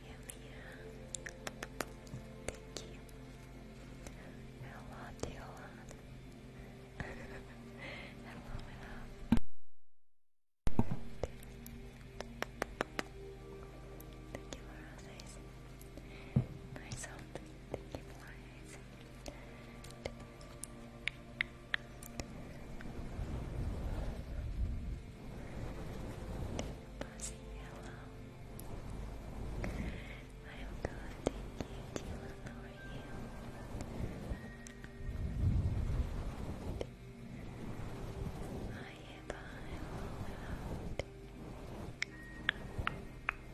you, Thank you. Hello, Diola. hello, hello. Thank you for Nice old. Thank you for Thank you. Pussy, hello. I'm good, thank you, Dylan. How are you? Hi, Eva. Hello, hello. I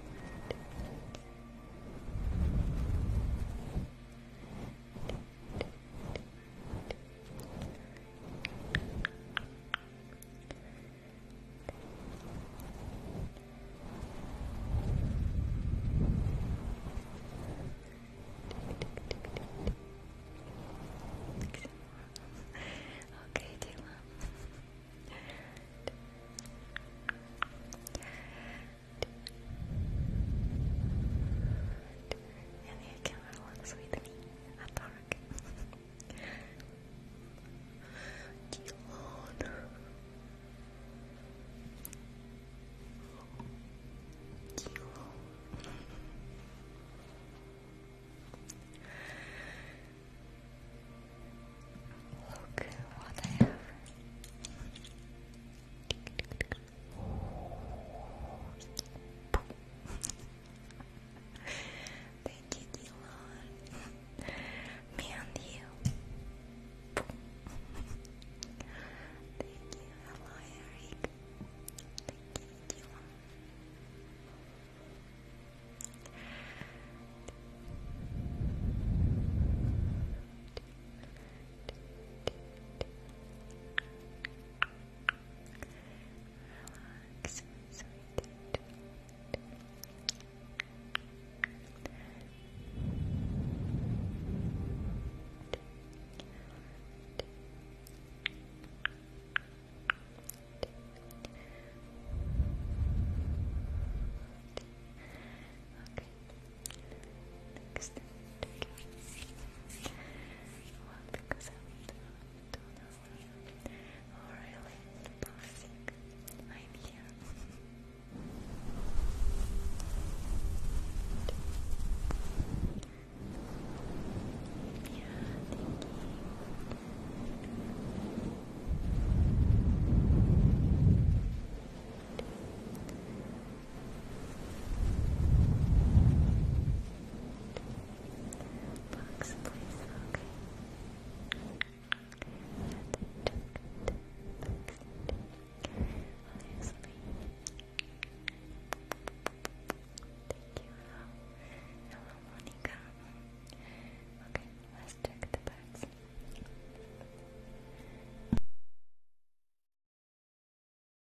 Okay, Taylor. And the camera looks with me at the dark. Keylon. Look what I have. Thank you, Dylan. Me you. Thank you. Hello, Eric. Thank you, Dylan. Relax, sweet. Okay. Next, Oh really? Perfect. I'm here. Yeah, thank you box, please. Okay. Obviously. Thank you. Hello, Hello Okay, let's check the bags.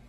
Plus,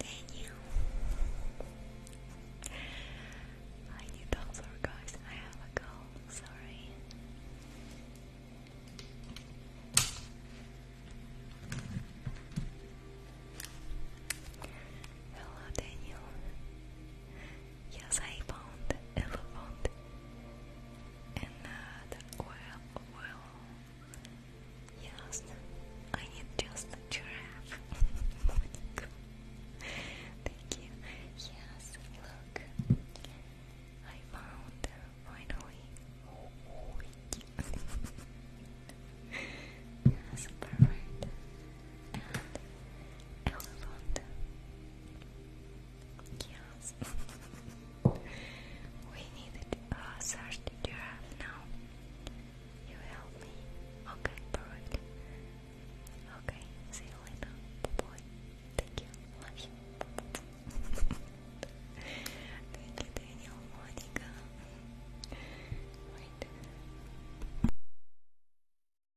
Daniel. I need those guys. I have a call. Sorry. Hello, Daniel. Yes, I found elephant and uh, the Yes, I need just giraffe. Thank you. Yes, look, I found finally. yes, perfect and elephant. Yes. we needed a uh, search giraffe now. You help me. Okay, perfect. Okay, see you Thank you. Love you. Thank you, Daniel, Monica. Wait.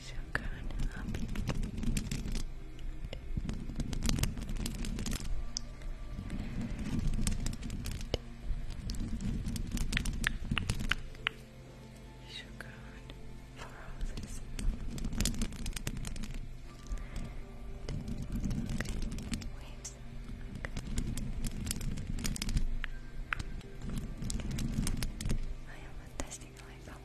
So good. So going for all this. Okay. Waves. I am a testing life, I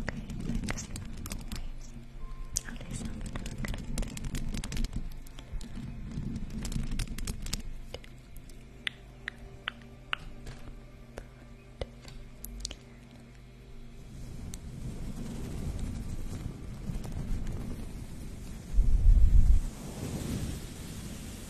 Okay, next waves. Alessandro Grande. Okay,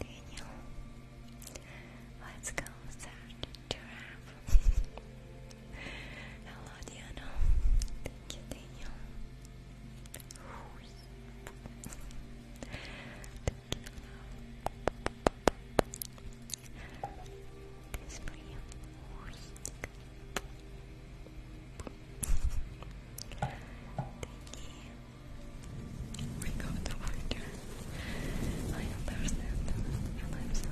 Daniel, let's go start giraffe. Hello, Diana. Thank you, Daniel. This Thank you. We got the water. I understand, and I'm so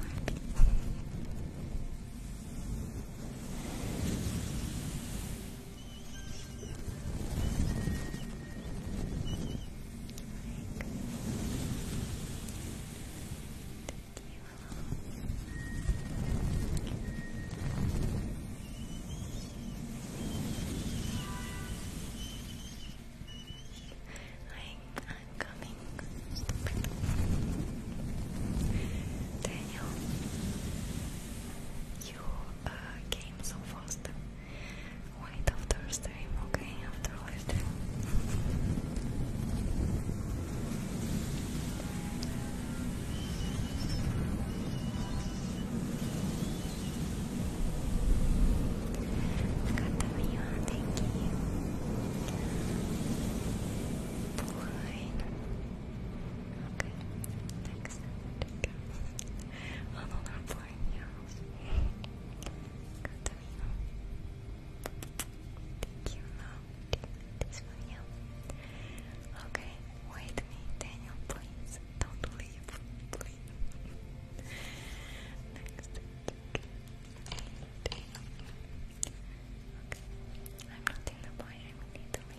Thank you. I'm coming. Daniel, you came so fast. Wait after stream, okay? After live thank you. Blind. Okay, next. oh no, not blind, yeah. Katarina. Thank you, no. This one, yeah. Okay, wait me, Daniel, please. Don't leave, please. Next Okay. I'm not the boy, I'm in Italy.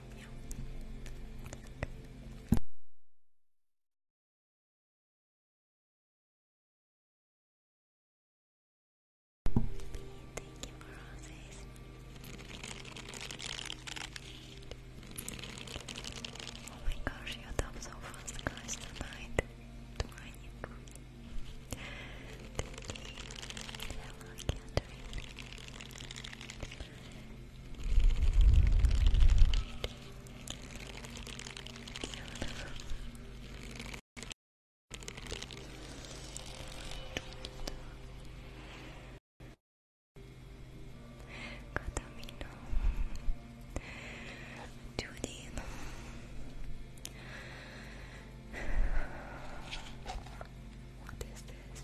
Thank you Oh my gosh, you thumbs so fast, guys, tonight. Tonight. Thank you. Hello, Catamino Tudino What is this?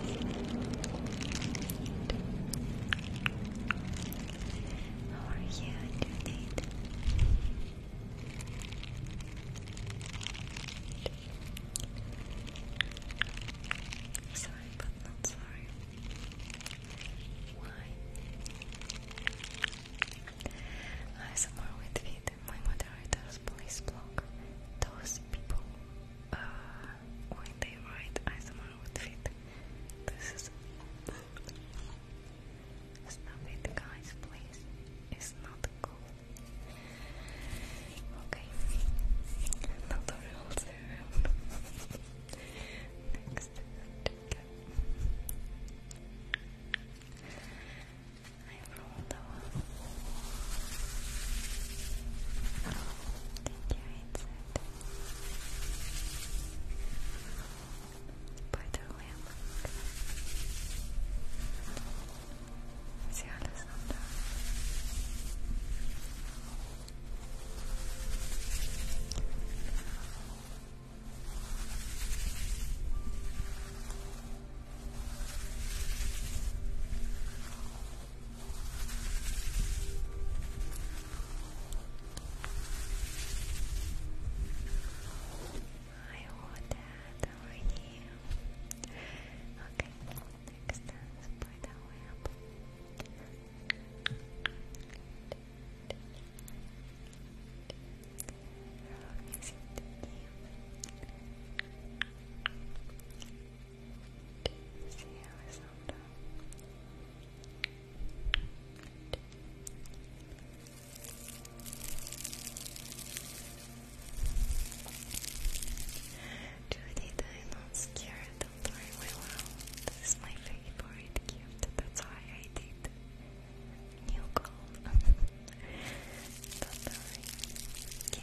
How are you doing? Sorry, but not sorry. Why? I somewhere with it. My moderators, please block those people uh, when they write ASMR with feet. This is stop guys, please. It's not cool. Okay, not the real serum. Next, I've rolled a one. Did you insert? By the way, See Alessandra. Thank I hold that over here. Okay, next let's the web. How is it DC, Arizona. Judy, they're not scared, don't This is my favorite gift, that's why I did new gold. don't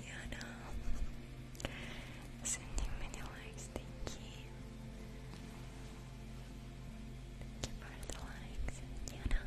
Yana, sending many likes, thank you. Thank you for the likes, Yana.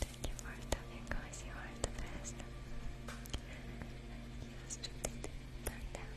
Thank you for talking, guys. You are the best. Yes, to think burn down.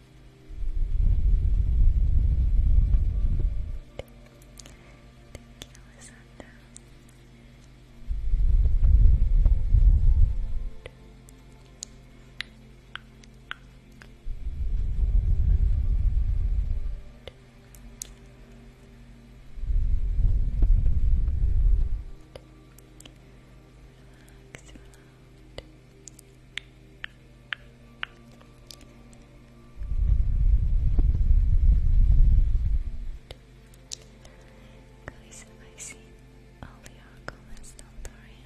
Thank you, Alessandra. Relax, relax. Relax, relax. Guys, I see all your comments, don't worry.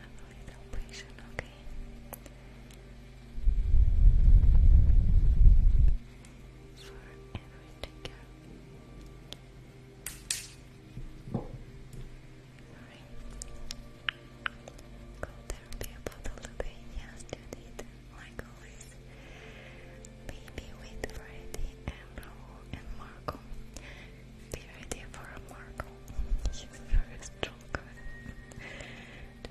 I'm a patient, okay? For every could there be a bottle today? Yes, you did. Like always. Baby with Freddy and Marco. Be ready for Marco. She's very strong.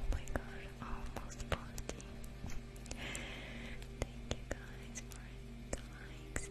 Oh my god, almost 40. Thank you guys for the likes.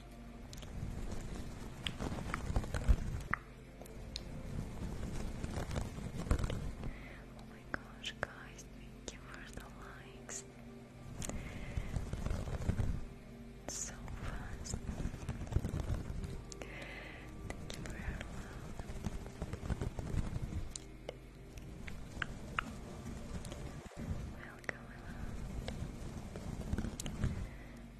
Oh my gosh, guys, thank you the likes. So fast. Thank you for your Welcome,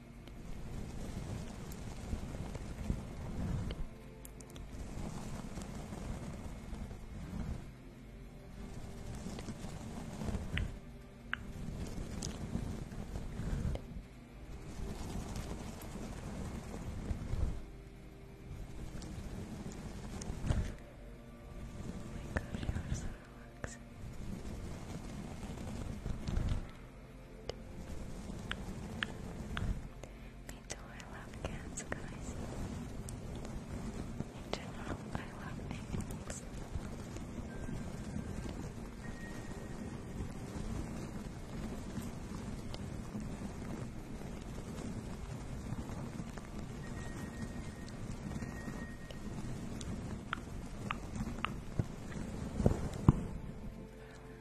Oh my gosh, you are so relaxing. Me too, I love cats, guys. In general, I love animals.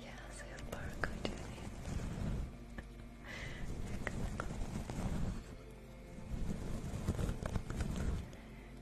Yes, I have Marco doing it.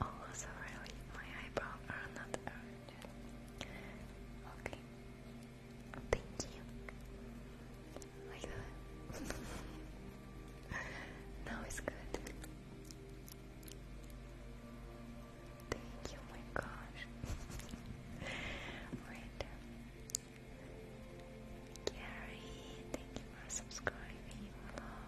Also, really, my eyebrows are not Okay. Thank you. Like that. now it's good. Thank you, my gosh. Wait. Gary, thank you for subscribing.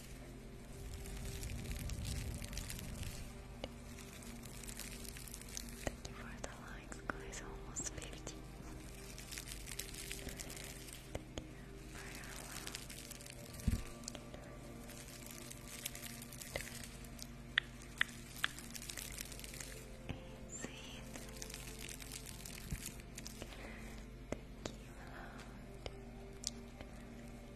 Thank you for the likes, guys. Almost 50. Thank you Thank you,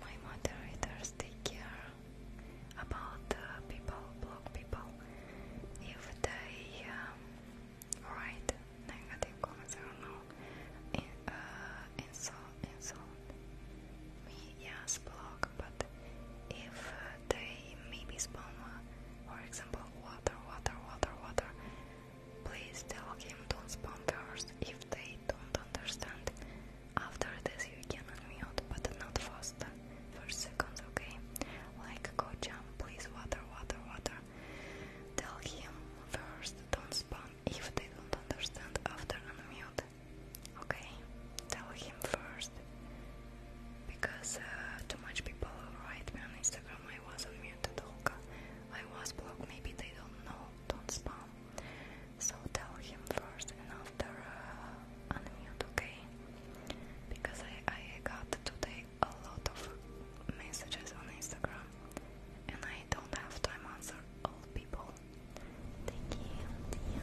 My moderators take care about uh, people, block people if they um, right? Negative comments, I don't know. In, uh, insult, insult yes, block, but if they maybe spam, for example, water, water, water, water, please tell him do spam first. If they don't understand, after this you can unmute, but not faster for seconds, okay? Like, go jump, please, water, water, water. Tell him first, don't spam if they don't understand after unmute, okay? Tell him first, because uh, too much people write me on Instagram, I was unmuted, Olga, I was blocked, maybe they don't know, don't spam. So tell him first and after unmute, uh, okay? Because I, I got today a lot of messages on Instagram and I don't have time to answer all people. Thank you, thank thank you.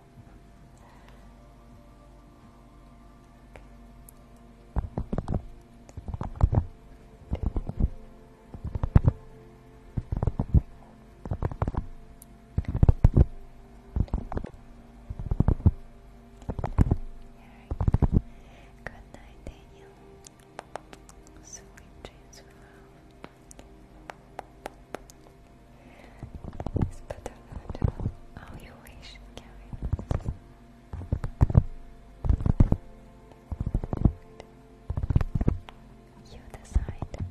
Good night, Daniel. Sweet dreams, love. It's better than do how you wish, You decide.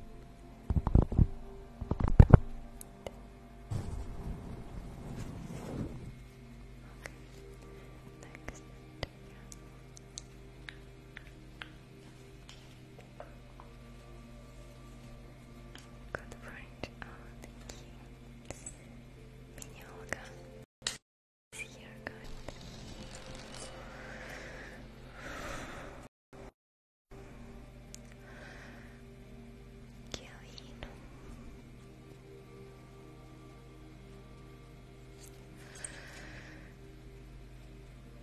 Got the Oh, thank you. Minyoga. It's here, good. Kiyohino.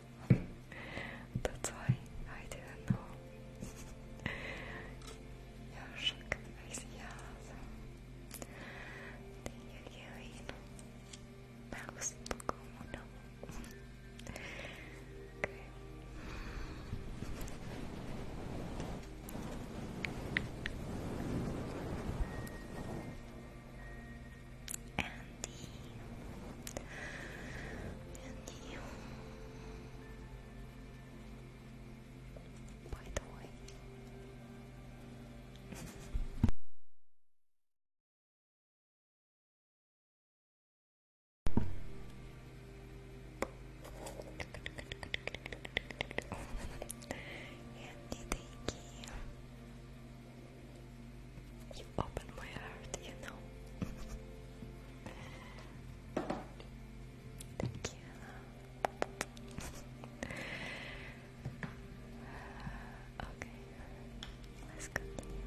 That's why I didn't know. Yavşak Mesiha'da Tenho que oír Me gusta como no okay. And Andy. By the way. Andy, you. You open my heart, you know. Thank you. okay, let's continue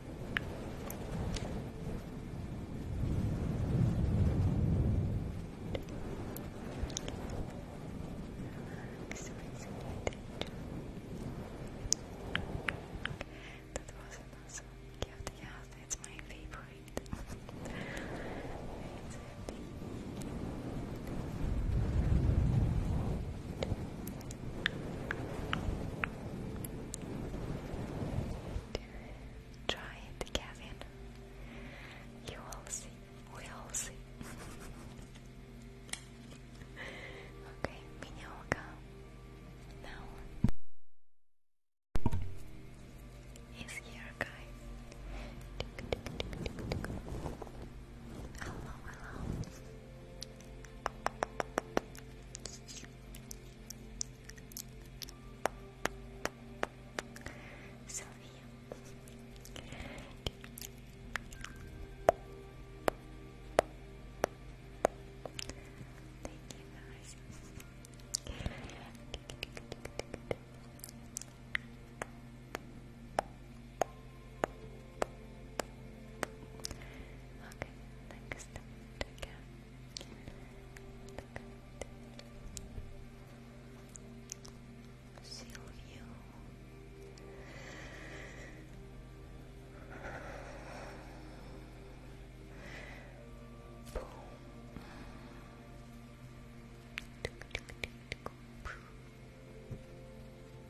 Relax, that was an gift, yeah, that's my favorite. Try it, Kevin. You will see. We all see. okay, minhoca. Now is here, guys. Hello, hello. Sophia. Thank you guys. Okay, next again. Seal you. Boom. Tick, tick, tick, tick, tick.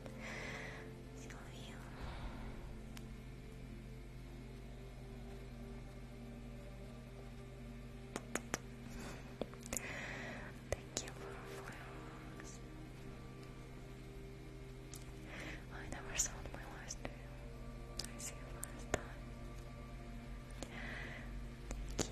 Thank you for flowers. I never sold my last name. I see you last time. Thank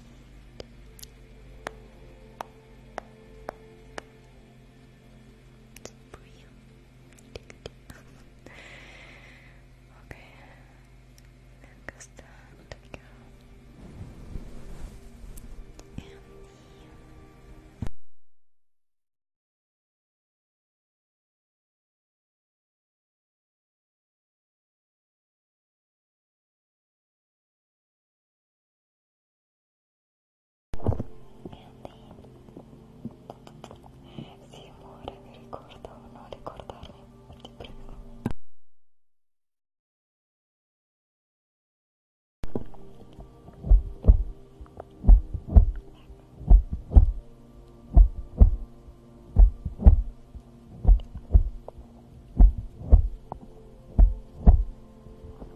okay, Lancaster, there Sì, amore, mi ricordo, non ricordarmi, ti prego. Ecco.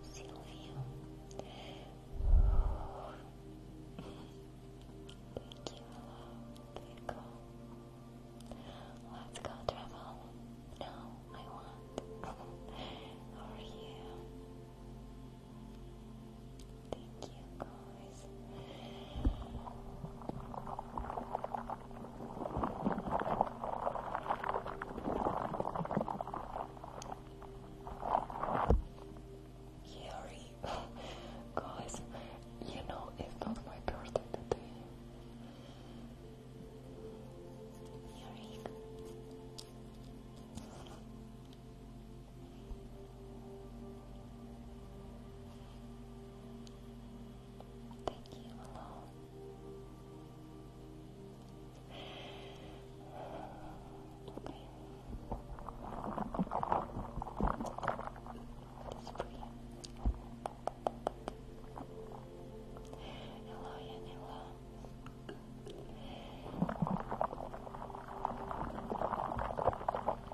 Silvio. Thank you, hello. There go. Let's go travel. No, I want. are you? Thank you, guys. Yuri, guys, you know it's not my birthday today. Thank you, hello. That's pretty. Hello, Yan, hello. Thank you,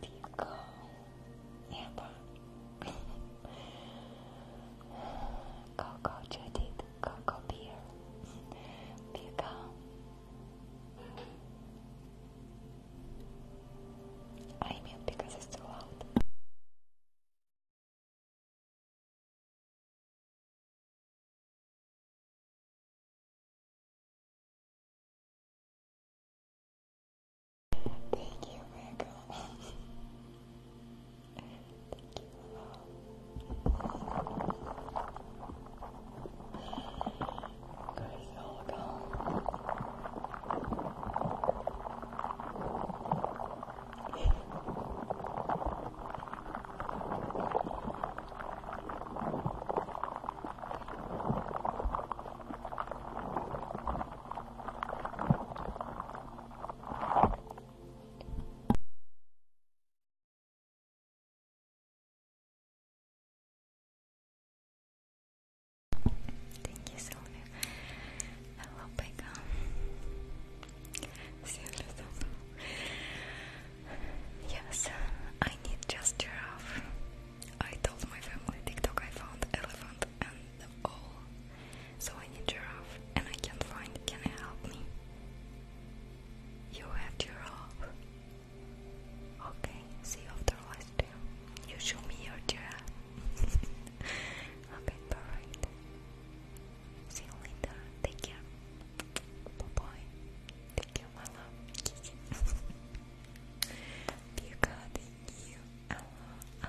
第一个，念吧，高高彻底的高高比尔，别刚。I mean, because it's too loud. Thank you, Virgo. Thank you, love. Guys, all gone. Thank you, Sylvia. Hello, Becca. Yes, I need just giraffe. I told my family TikTok I found elephant and all. So I need giraffe and I can't find. Can you help me? You have giraffe. Okay, see you after last stream. You show me your giraffe. okay, perfect. See you later. Take care. Bye bye. Take care, my love. Dear God, thank you. I love. I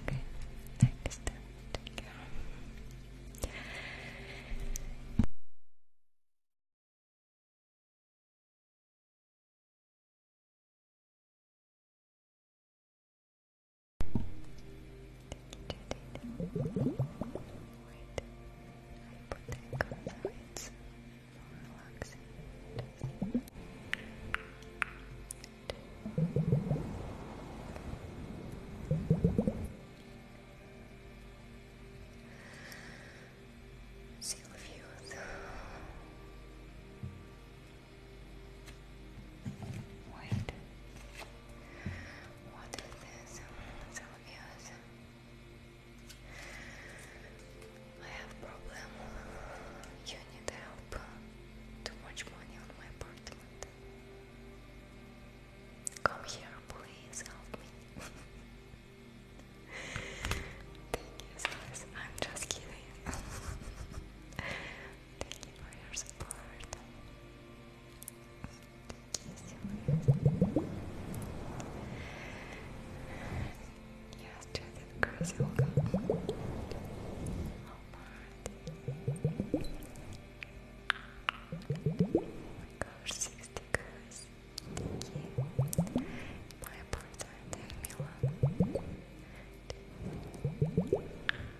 okay. Next time. Take care. Wait, I put that card so it's more relaxing. Seal of Wait. What is this? It's I have problem. You need help. Too much money on my apartment. Come here, please help me. Thank you, Silas. I'm just kidding. Oh Thank you for your support. yes, Judith Cruz, you'll go. Walmart. Oh my girls. Thank My apartment in Milan. Thank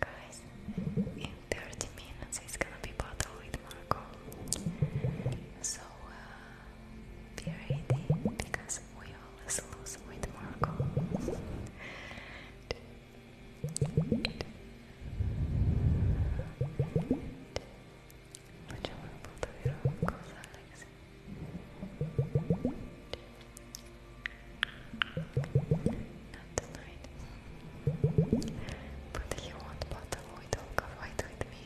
Guys, in 30 minutes it's gonna be bottle with Marco. So be ready because we always lose with Marco. Facciamo un po' di rock, Alex. Not tonight. But he won't bother with with me.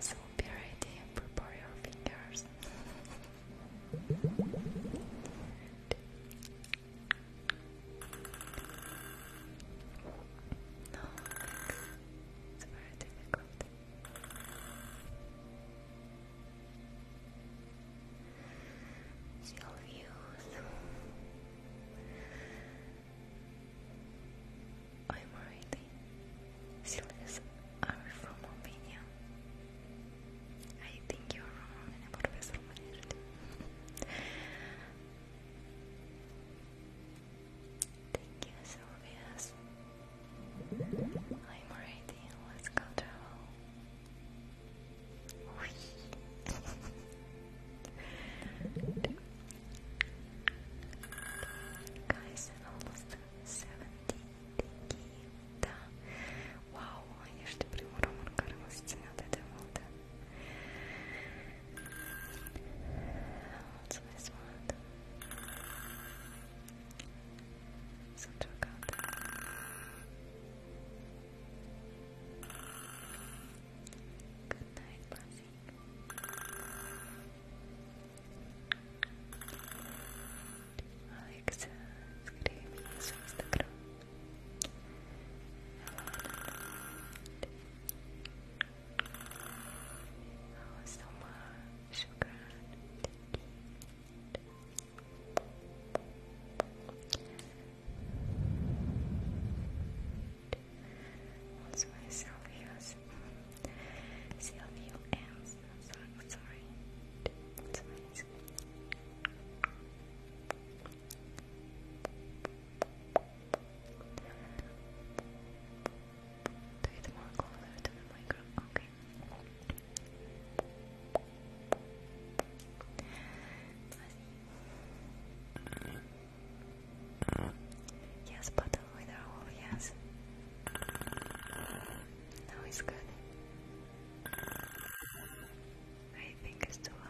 So be ready and prepare your fingers. No, it's very difficult. It's I'm already. Silvius are from Albania. I think you're wrong about Vessel Thank you, Silvius. I'm ready. Let's go travel. Guys, almost 70 да. Вау, я ж тепер йому роман карма зціняти демонта. Оце не звати so check out Good night, Blessing. Alexa, escreve seu Instagram. I was so much. Thank you. What's my Sylvia's? Sylvia M's. Sorry, sorry. Do it more closer to the microphone. Okay. Yes, button with a hole, yes. Now it's good. I think it's too loud.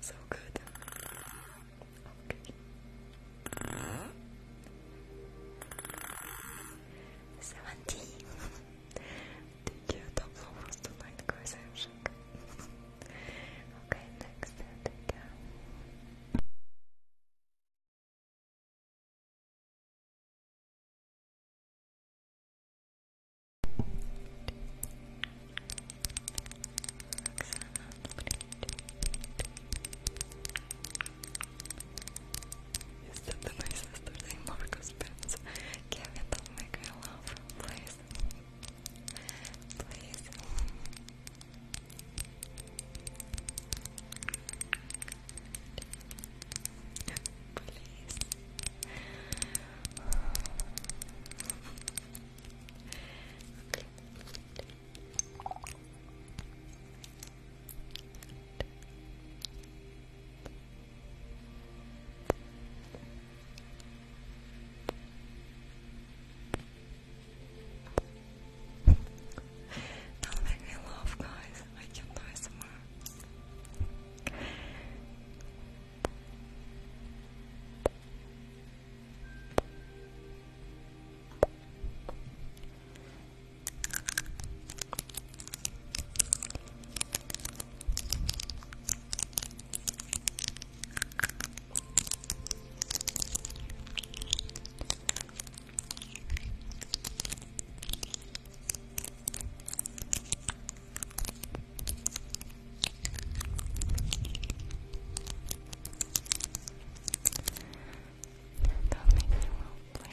So good. Okay. Seventeen. Did you top lowers tonight, guys? I'm okay, next. Take is that the nicest thing Marcus Pence? Give it up, make me laugh. Please. Please. Please. Okay. Good. Don't make me laugh, guys. I can't die somewhere. Don't make me roll play.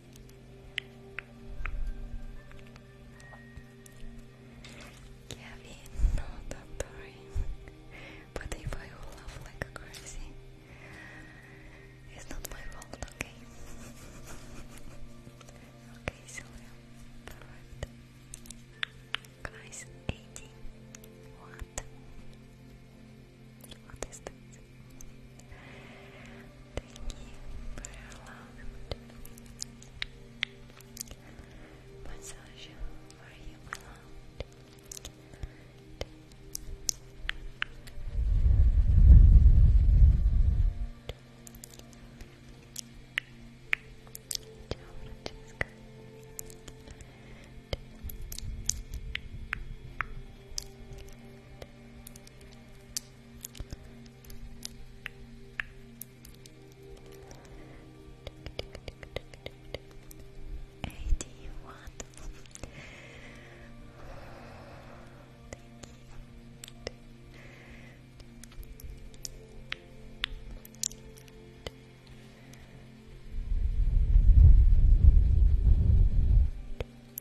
Kevin, no, don't worry. But if I will like crazy, it's not my fault, okay? okay, Sylvia, perfect. Guys, 80. What? What is you for Massage, are you beloved? Thank you Eighty one. Thank you.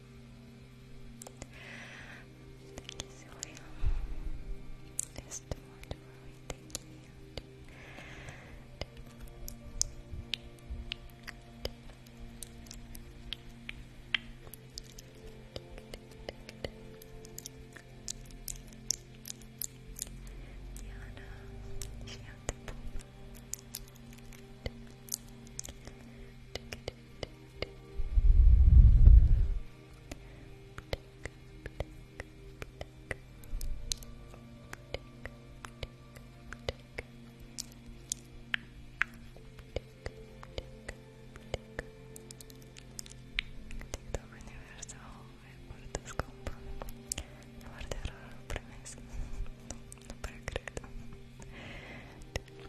Thank you, Sylvia. Just want to worry. Thank you. Diana, she had the dell'universo e portoscopo a guarderò il premesso non credo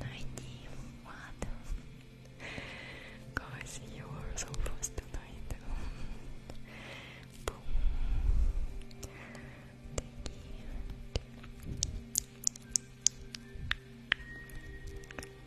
91 Guys, you are so fast Thank you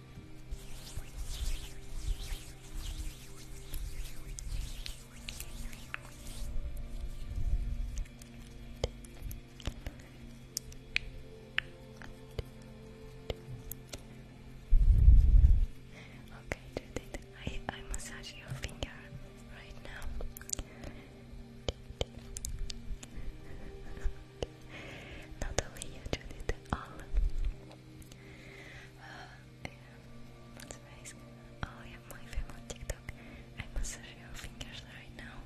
Okay, Judith, I, I massage your finger right now. Not only you, Judith, all that's amazing. Oh yeah, my fam on TikTok. I massage your fingers right now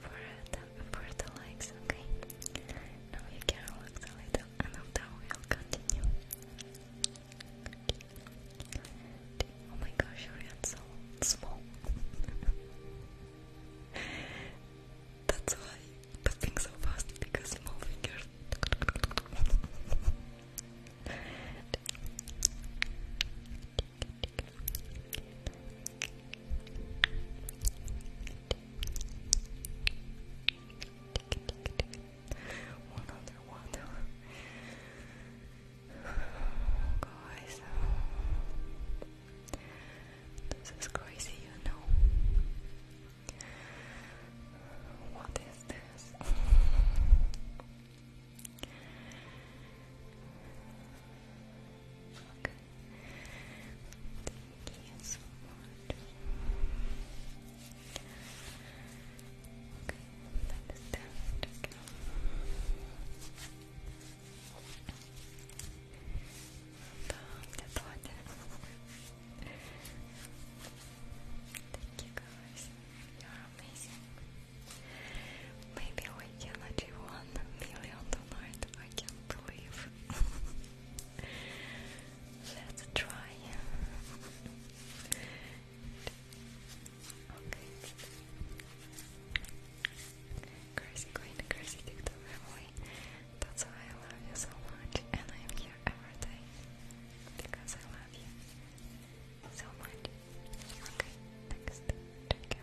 for the, for the likes, okay? Now you can relax a little and now we'll continue. Oh my gosh, your hands so small. That's why but think so fast because small fingers. One other one. Guys, uh, this is crazy, you know. What is this? okay. Thank you so much. Okay, that is Okay. Да, мне Thank you we can achieve one million tonight. I can't believe. Let's try. okay. Crazy Queen, Crazy TikTok family. That's why I love you so much, and I'm here here because I love you so much. Okay, next. Take care.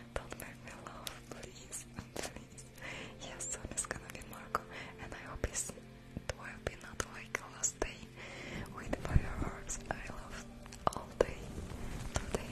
Don't make me laugh, please, please. Yes, it's gonna be Marco, and I hope it's it will be not like last day with fireworks. I love all day today.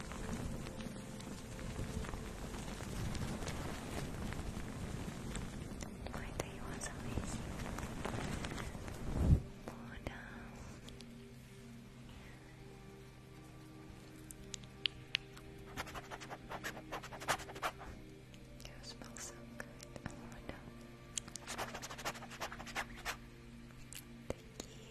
My day was amazing. More down. You smell so good. More oh, down. Vicky, you?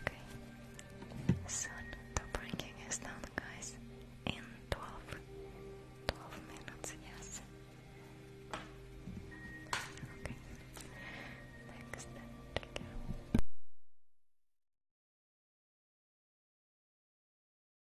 Okay. Soon the ranking is down guys in 12 minutes, yes. Okay. Next trigger.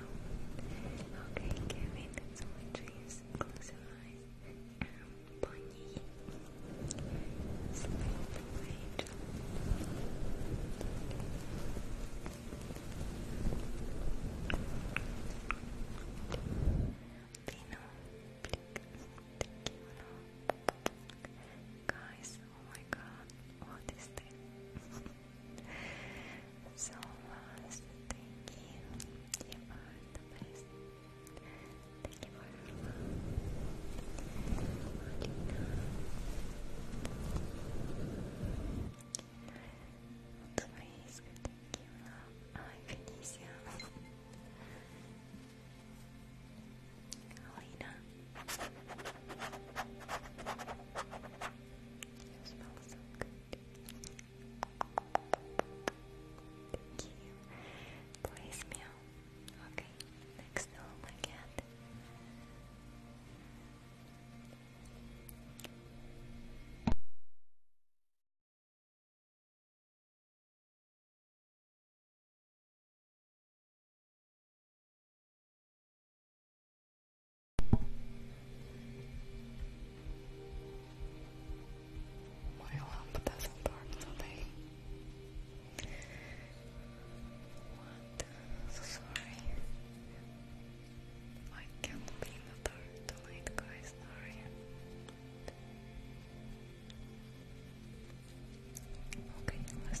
now. Okay, Kevin, so please close your eyes and bunny. Sleep away, Dino, Guys, oh my god, what is this? So lost. Thank you. You the best. Thank you for your love. Please, thank you, love. i Alina. You smell so good. Thank you. Please meow. Okay, next to my Moje lambda są bardzo tutaj. What? So sorry. I can be in the dark tonight, guys. Sorry. Okay, let's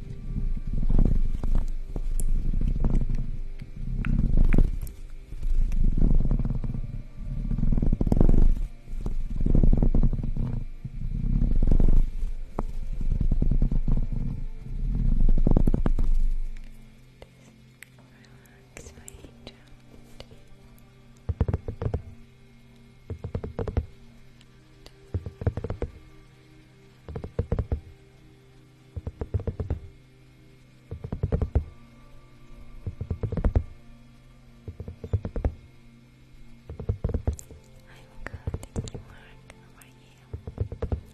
Relax, my angel. Relax. I'm good, thank you, Mark. How are you?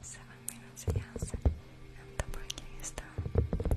Seven minutes, yes, and the breaking is done.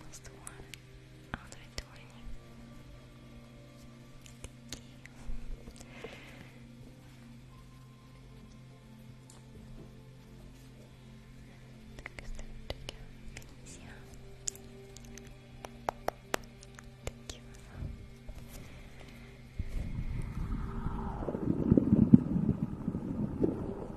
almost one out of twenty. Thank you. Tak serdecznie Felicia. Thank Thank you.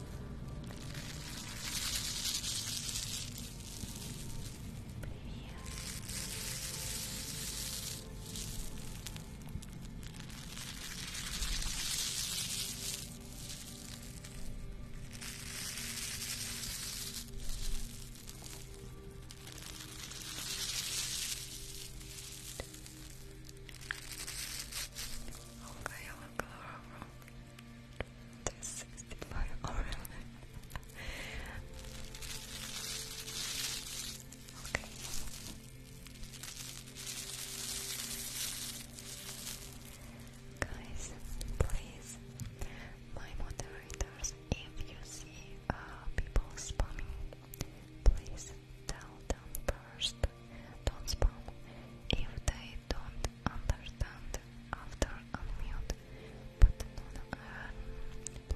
Okay, I will go over there's oh, okay. Guys, please, my moderators, if you see uh, people spamming, please tell them first. Don't spam. If they don't understand after unmute but uh, not,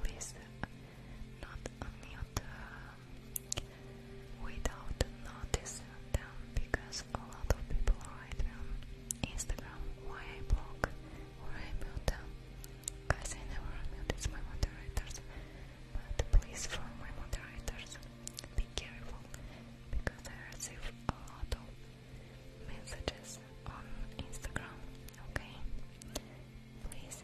please not unmute uh, without notice them because a lot of people write me Instagram why I block or I mute them guys I never unmute, my moderators but please from my moderators be careful because I receive a lot of messages on Instagram, okay? Please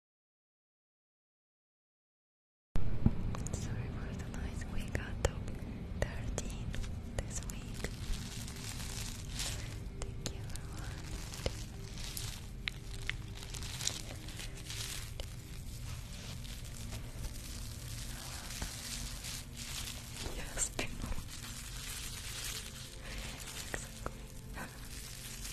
Sorry for the noise, we got top 13 this week. Thank you Yes, people.